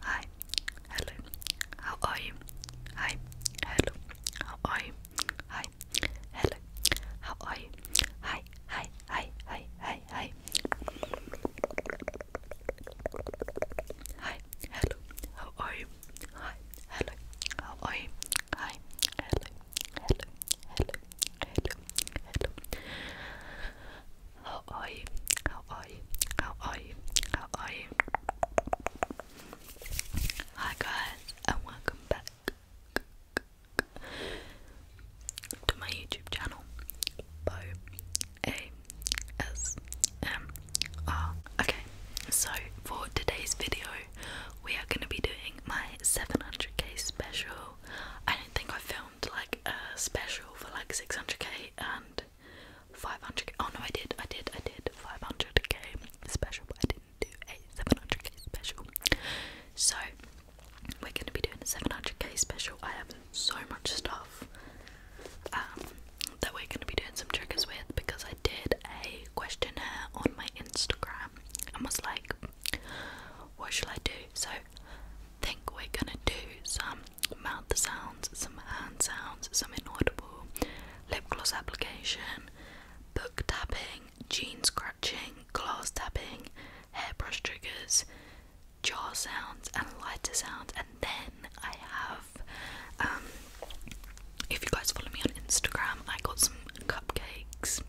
Hi, hello, how are you? Hi, hello, how are you? Hi, hello, how are you? Hi, hi, hi, hi, hi, hi. Hi, hello, how are you? Hi, hello, how are you? Hi, hello, hello, hello, hello, hello. How are you? How are you? How are you? How are you? Hi guys and welcome back to my YouTube channel Bo Okay, so for today's video we are gonna be doing my 700k special. I don't think I filmed like a special for like 600k and 500k. Oh no, I did, I did, I did 500k special, I didn't do a 700k special. So we're gonna be doing a 700k special. I have so much stuff um, that we're gonna be doing some triggers with because I did a questionnaire on my Instagram and was like, what shall I do? So, I think we're gonna do some mouth sounds, some hand sounds, some inaudible lip gloss application, book tapping, jean scratching, glass tapping, hairbrush triggers, jar sounds, and lighter sounds. And then I have, um, if you guys follow me on Instagram, I got some cupcakes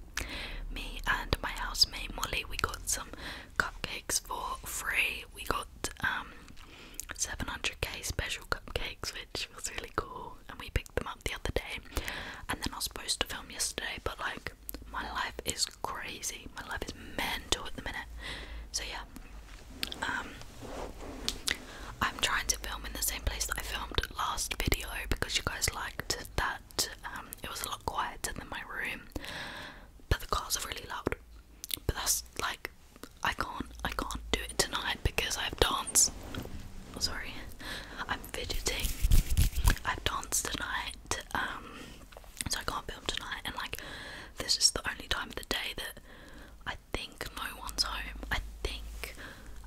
me and my housemate Molly, we got some cupcakes for free. We got um 700k special cupcakes, which was really cool, and we picked them up the other day. And then I was supposed to film yesterday, but like my life is crazy. My life is mental at the minute. So yeah. Um I'm trying to film in the same place that I filmed last video because you guys liked that um, it was a lot quieter than my room, but the cars are really loud. But that's like, I can't, I can't do it tonight because I have dance. Oh, sorry, I'm fidgeting. I have dance tonight, um, so I can't film tonight. And like, this is the only time of the day that I think no one's home. I think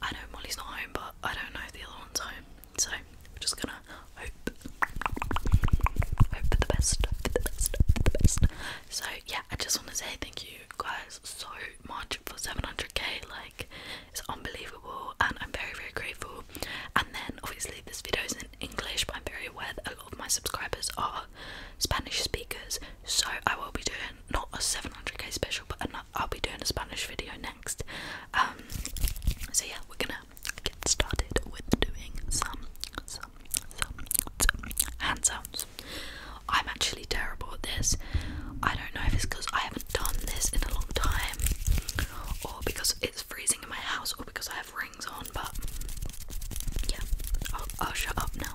I know Molly's not home, but I don't know if the other one's home. So we're just gonna hope, hope for the best, the best, the best. So yeah, I just want to say thank you guys so much for 700k. Like it's unbelievable, and I'm very very grateful. And then obviously this video is in English, but I'm very aware that a lot of my subscribers are Spanish speakers. So I will be doing not a 700k special, but I'll be doing a Spanish video next. Um, so yeah, we're gonna get started with doing some, some, some, some hand sounds. I'm actually terrible at this. I don't know if it's because I haven't done this in a long time, or because it's freezing in my house, or because I have rings on, but yeah, I'll shut up now.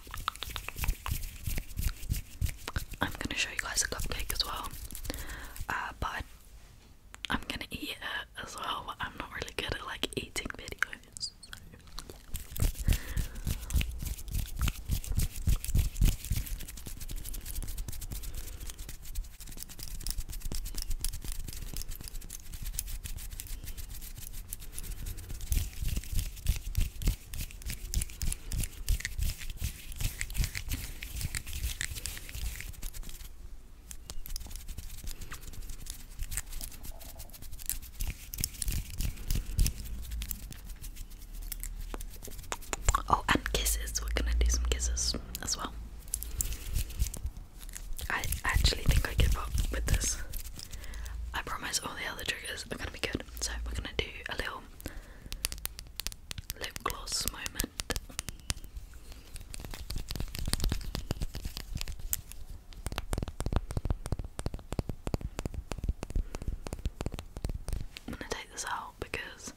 I'm gonna show you guys a cupcake as well, uh, but I'm gonna eat it as well. But I'm not really good at like eating videos. Oh, and kisses. We're gonna do some kisses as well. I actually think I give up with this. I promise all the other triggers are gonna be good. So we're gonna do a little lip gloss moment. I'm gonna take this out because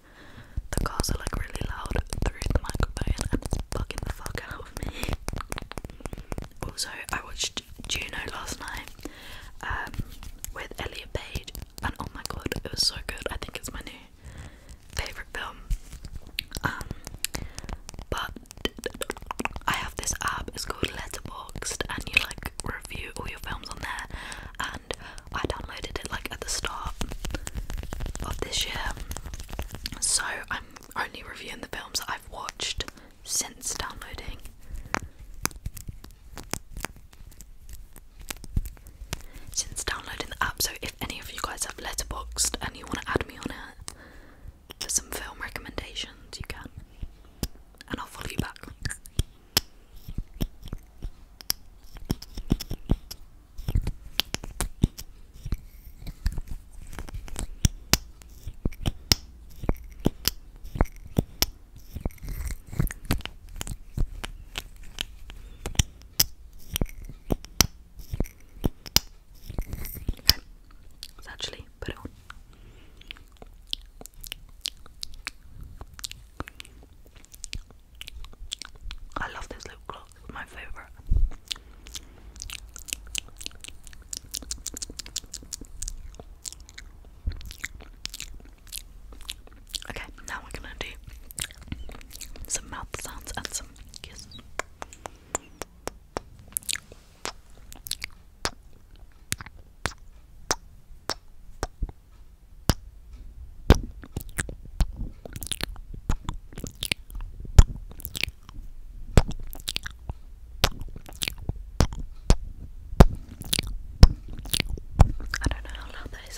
the cars are like really loud through the microphone and it's the fuck out of me. Also, I watched Juno last night um, with Elliot Page, and oh my god, it was so good. I think it's my new favorite film. Um, but I have this app. It's called Letterboxd, and you like review all your films on there. And I downloaded it like at the start of this year, so I'm only reviewing the films that I've watched since downloading since downloading the app. So if any of you guys have letterboxed and you want to add me on it for some film recommendations, you can, and I'll follow you back. Let's actually put it on. I love this little gloss, my favorite. Okay, now we're gonna do some mouth sounds and some kisses. I don't know how loud that is.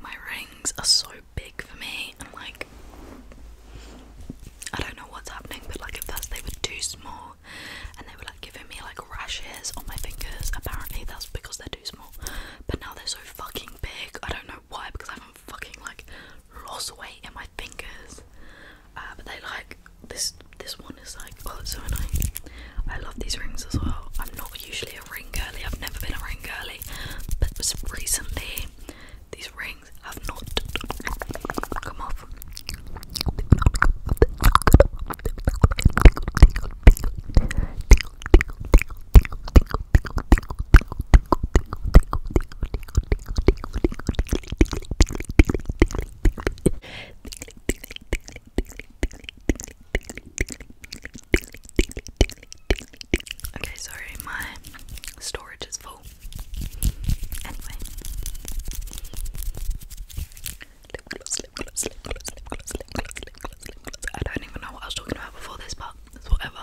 My rings are so big for me, and like, I don't know what's happening, but like, at first they were too small, and they were like giving me like rashes on my fingers. Apparently that's because they're too small. But now they're so fucking big. I don't know why because I haven't fucking like lost weight in my fingers. Uh, but they like this this one is like oh it's so nice. I love these rings as well. I'm not usually a ring girly, I've never been a ring girly, but recently these rings have not come off. Okay, sorry, my storage is full. Anyway, I don't even know what I was talking about before this, but whatever.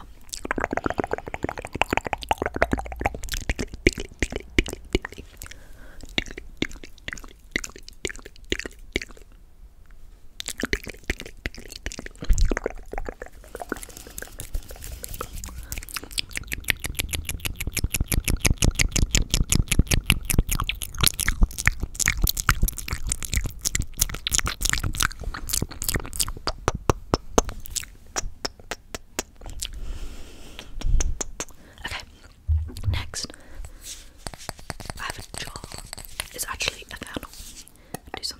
Okay, next, I have a jar. It's actually a candle. I do some.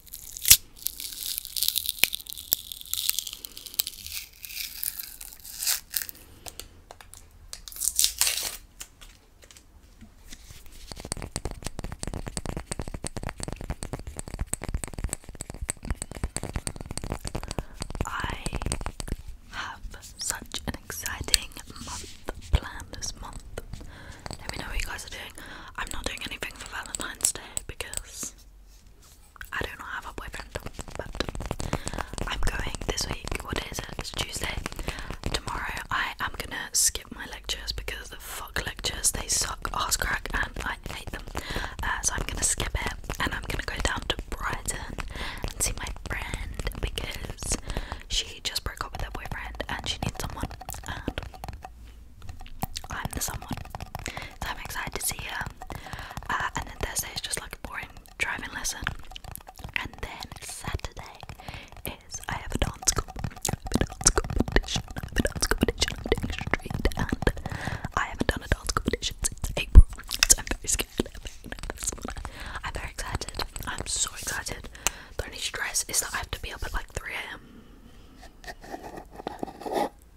I have such an exciting month planned this month. Let me know what you guys are doing. I'm not doing anything for Valentine's Day because I do not have a boyfriend, but I'm going this week. What is it? It's Tuesday. Tomorrow I am gonna skip my lectures because the fuck lectures, they suck ass crack and I hate them. Uh, so I'm gonna skip it and I'm gonna go down to Brighton and see my friend because she just broke up with her boyfriend and she needs someone I'm the someone. So I'm excited to see her. Uh, and then Thursday is just like a boring driving lesson. And then Saturday is I have a dance competition. I have a dance competition. I have a dance competition on Ding Street. And I haven't done a dance competition since April. I'm very scared. I'm very nervous. I'm very excited. I'm so excited. The only is that I have to be up at like 3 a.m.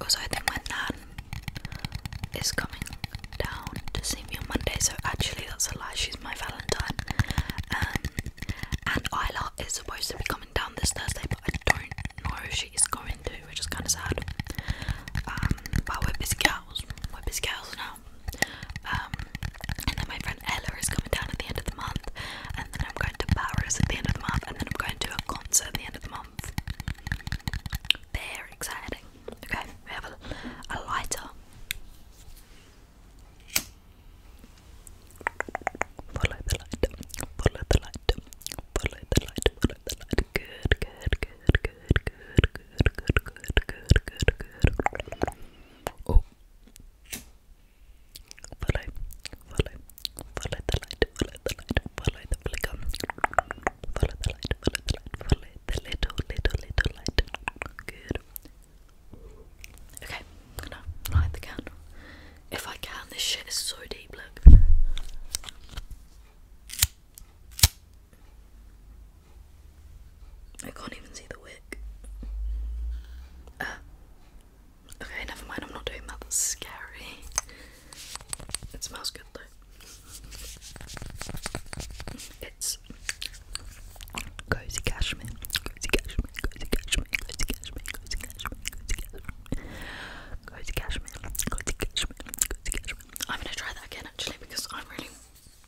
Also, I think my nan is coming down to see me on Monday, so actually, that's a lie. She's my Valentine, um, and Isla is supposed to be coming down this Thursday, but I don't know if she's is going to, which is kind of sad. Um, but we're busy, yeah, cows, whip his cows now. Um, and then my friend Ella is coming down at the end of the month, and then I'm going to Paris at the end of the month, and then I'm going to a concert at the end of the month. Very exciting. Okay, we have a lighter. Follow the light, follow the light, follow the light, follow the light, good, good, good, good, good, good, good, good, good, good, good. Oh. Follow, follow, follow the light, follow the light, follow the flicker. Follow the light, follow the light, follow the little, little, little light. Good. Okay, I'm gonna light the candle. If I can, this shit is so deep, look. I can't even see the wick. Uh, okay, never mind, I'm not doing that. That's scary. It smells good though. It's cozy cashmere. Cozy cashmere, cozy cashmere, cozy cashmere, cozy cashmere, cozy cashmere. Cozy cashmere, cozy cashmere, cozy cashmere, I'm gonna try that again actually because I really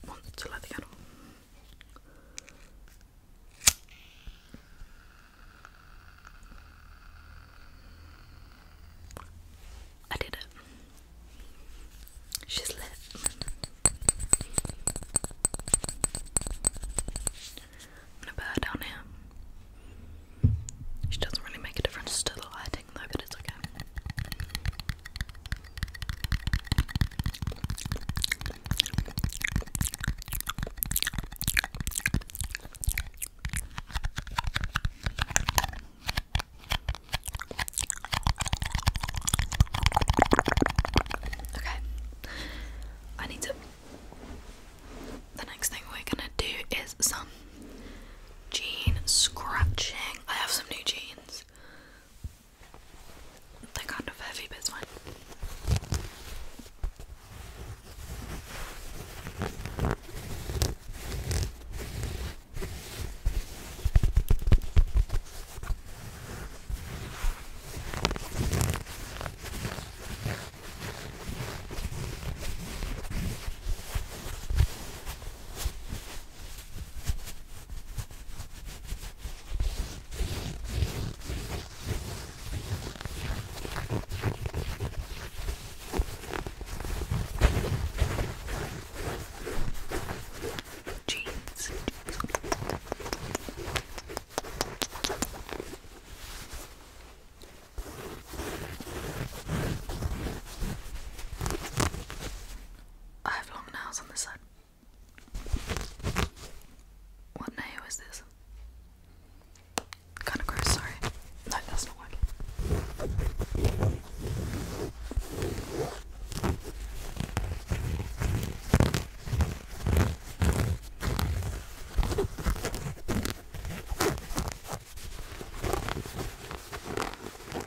want to light the candle. I did it. She's lit. I'm down here. She doesn't really make a difference to the light. Okay, I need to. The next thing we're gonna do is some Jean scratching. I have some new jeans. They're kind of heavy, but it's fine. Jeans. I have long nails on this side. What nail is this? Kinda gross, sorry. No, that's not working.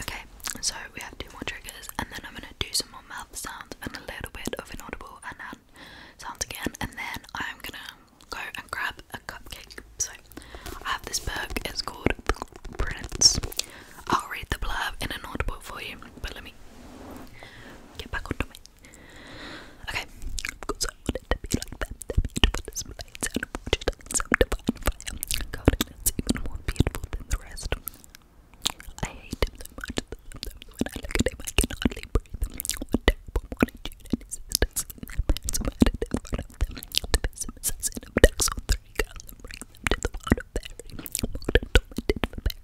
Okay, so we have two more triggers, and then I'm gonna do some more mouth sounds and a little bit of inaudible and hand sounds again, and then I'm gonna go and grab a cupcake. So I have this book, it's called Prince. I'll read the blurb in an audible for you, but let me get back onto my Okay, because I want it to be like that, the beautiful displays and watches and some divine fire. even more beautiful than the rest. I hate him so much when I look at him I can hardly breathe. One terrible morning, June and his sisters and their parents murdered in front of them. The pessimism assassin abducts all three girls and brings them to the world of fairy. Morgan tormented for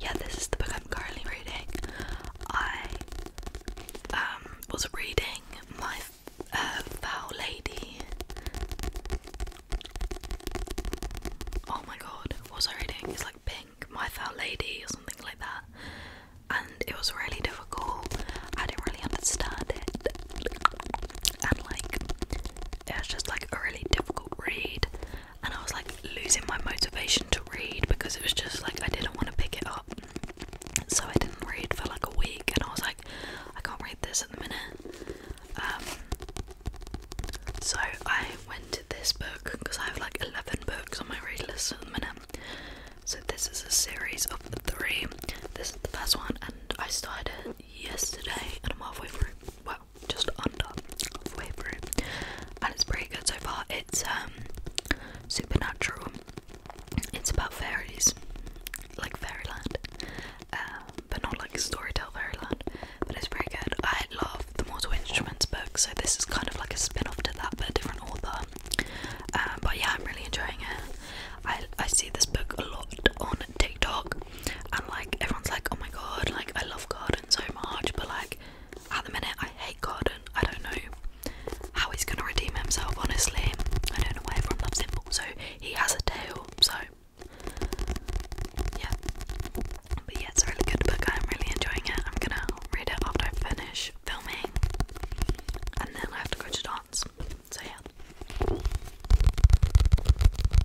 yeah, this is the book I'm currently reading. I um, was reading my uh, Foul Lady. Oh my god, what was I reading? It's like Pink, My Foul Lady, or something like that. And it was really difficult. I didn't really understand it. And like, it was just like a really difficult read and I was like losing my motivation to read because it was just like I didn't want to pick it up. So I didn't read for like a week and I was like, I can't read this at the minute. Um, so I went to this book because I have like 11 books on my read list at the minute. So this is a series of three. This is the first one and I started yesterday and I'm halfway through. Well, just under halfway through, and it's pretty good so far. It's um supernatural. It's about fairies, like fairyland, um, but not like story tell fairyland. But it's pretty good. I love the Mortal Instruments book, so this is kind of like a spin-off to that, but a different author. Um, but yeah, I'm really enjoying it. I I see this book a lot on TikTok, and like everyone's like, oh my god, like I love God, so much, but like at the minute I hate God, and I don't know how he's gonna redeem himself, honestly. I don't know where from loves him. So he has a tail, so yeah. But yeah, it's a really good book. I'm really enjoying it. I'm gonna read it after I finish filming, and then I have to go to dance. So yeah.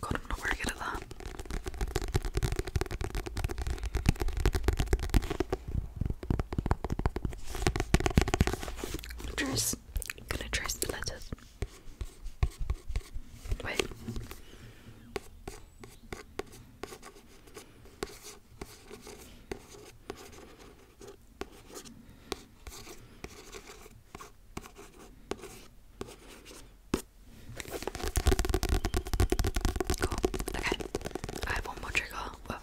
God, I'm not very good trace, gonna trace the letters. Wait. Okay. I have one more trigger. Well,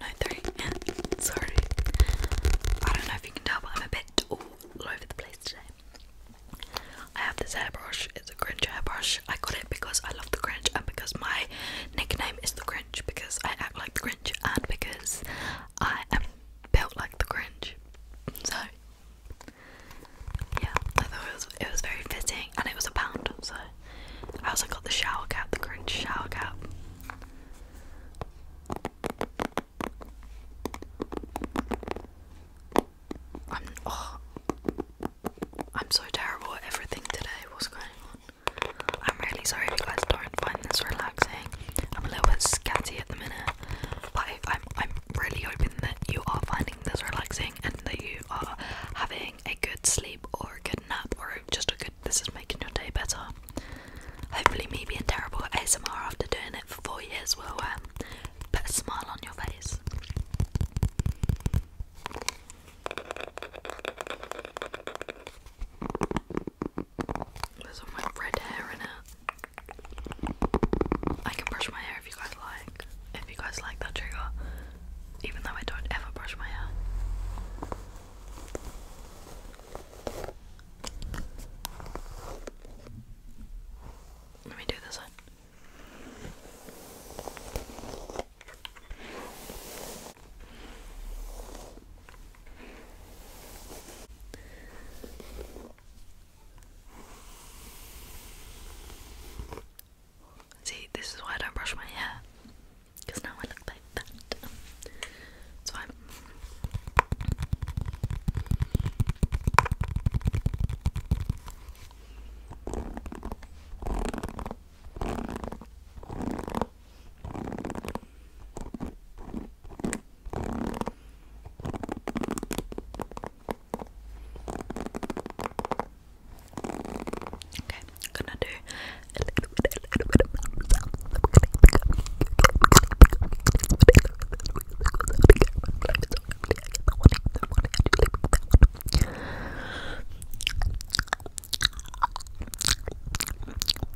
Sorry. I don't know if you can tell, but I'm a bit all over the place today. I have this hairbrush. It's a Grinch hairbrush. I got it because I love the Grinch and because my nickname is the Grinch because I act like the Grinch and because I am built like the Grinch. So yeah, I thought it was it was very fitting and it was a pound, so I also got the shower cap, the Grinch shower cap. I'm oh I'm so terrible at everything today. What's going on? I'm really sorry if you guys don't find this relaxing. I'm a little bit scanty at the minute, but I, am I'm really hoping that you are finding this relaxing and that you are having a good sleep or a good nap or just a good. This is making your day better. Hopefully, me being terrible at ASMR after doing it for four years will um, put a smile on your face. There's all my red hair in it. I can brush my hair if you guys like. If you guys like that trigger, even though I don't ever brush my hair. Let me do this one. See, this is why I don't brush my hair. Because now I look like that. It's fine. Okay, I'm gonna do a little bit, a little bit of mouth sound. I'm gonna pick up,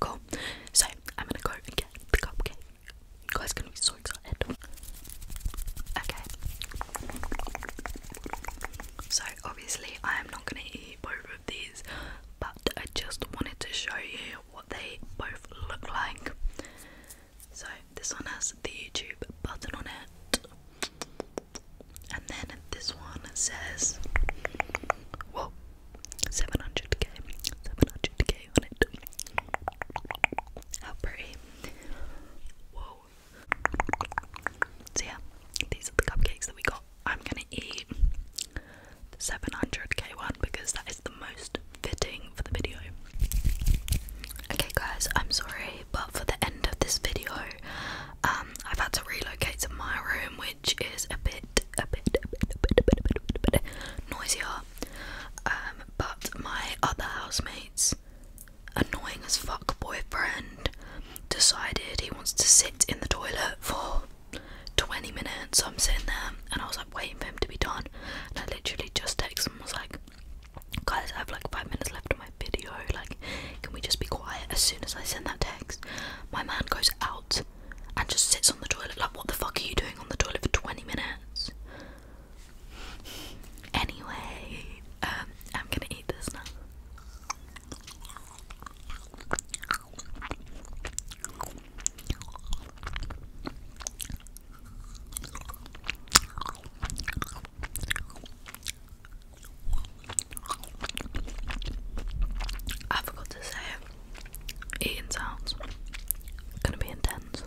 Cool. So I'm gonna go get the cupcake. You guys gonna be so excited. Okay. So obviously I am not gonna eat both of these, but I just wanted to show you what they both look like. So this one has the YouTube button on it. And then this one says, Well, 700k, 700k on it. How pretty. Whoa. So, yeah, these are the cupcakes that we got. I'm gonna eat the 700k one because that is the most fitting for the video. Okay, guys, I'm sorry, but for the end of this video, um, I've had to relocate to my room, which is a bit noisier. Um, but my other housemate's annoying as fuck boyfriend decided he wants to sit in the toilet for 20 minutes. So I'm sitting there and I was like waiting for him to be done. And I literally just texted him and was like, guys, I have like five minutes left of my video. Like, can we just be quiet? As soon as I send that text, my man goes out and just sits on the toilet. Like, what the fuck are you doing on the toilet for 20 minutes? Anyway, um, I'm gonna eat this now. I forgot to say eating sounds. gonna be intense.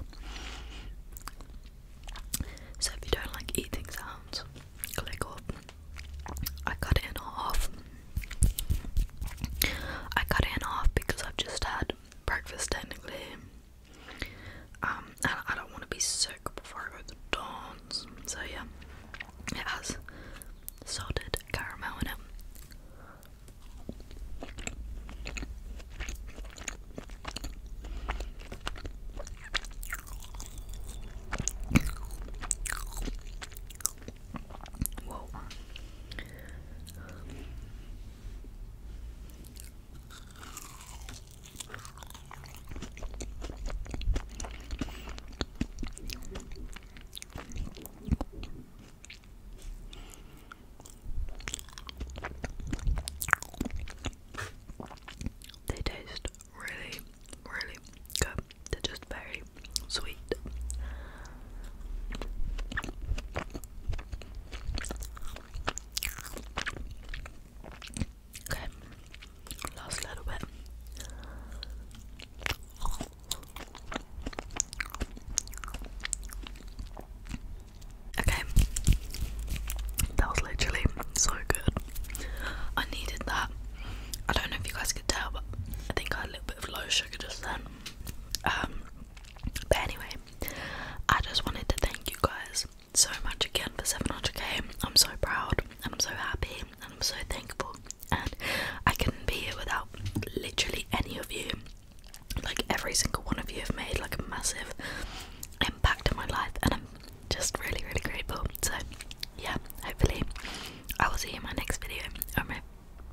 So if you don't like eating sounds, click up. I cut in half. I cut in half because I've just had breakfast technically. Um, and I don't want to be sick before I go to dance. So yeah, it has salted caramel in it. They taste really, really good. They're just very sweet. Okay, last little bit. Okay, that was literally so good. I needed that. I don't know if you guys could tell, but I think I had a little bit of low sugar just then. Um, but anyway, I just wanted to thank you guys so much again for 700k. I'm so proud and I'm so happy and I'm so thankful and I couldn't be here without literally any of you. Like every single one of you have made like a massive impact on my life, and I'm just really, really grateful. So, yeah, hopefully, I will see you in my next video or my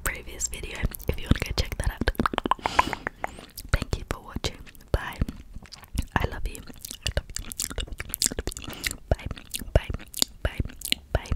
previous video if you want to go check that out. Thank you for watching. Bye. I love you. I love you. Bye. Bye. Bye. Bye.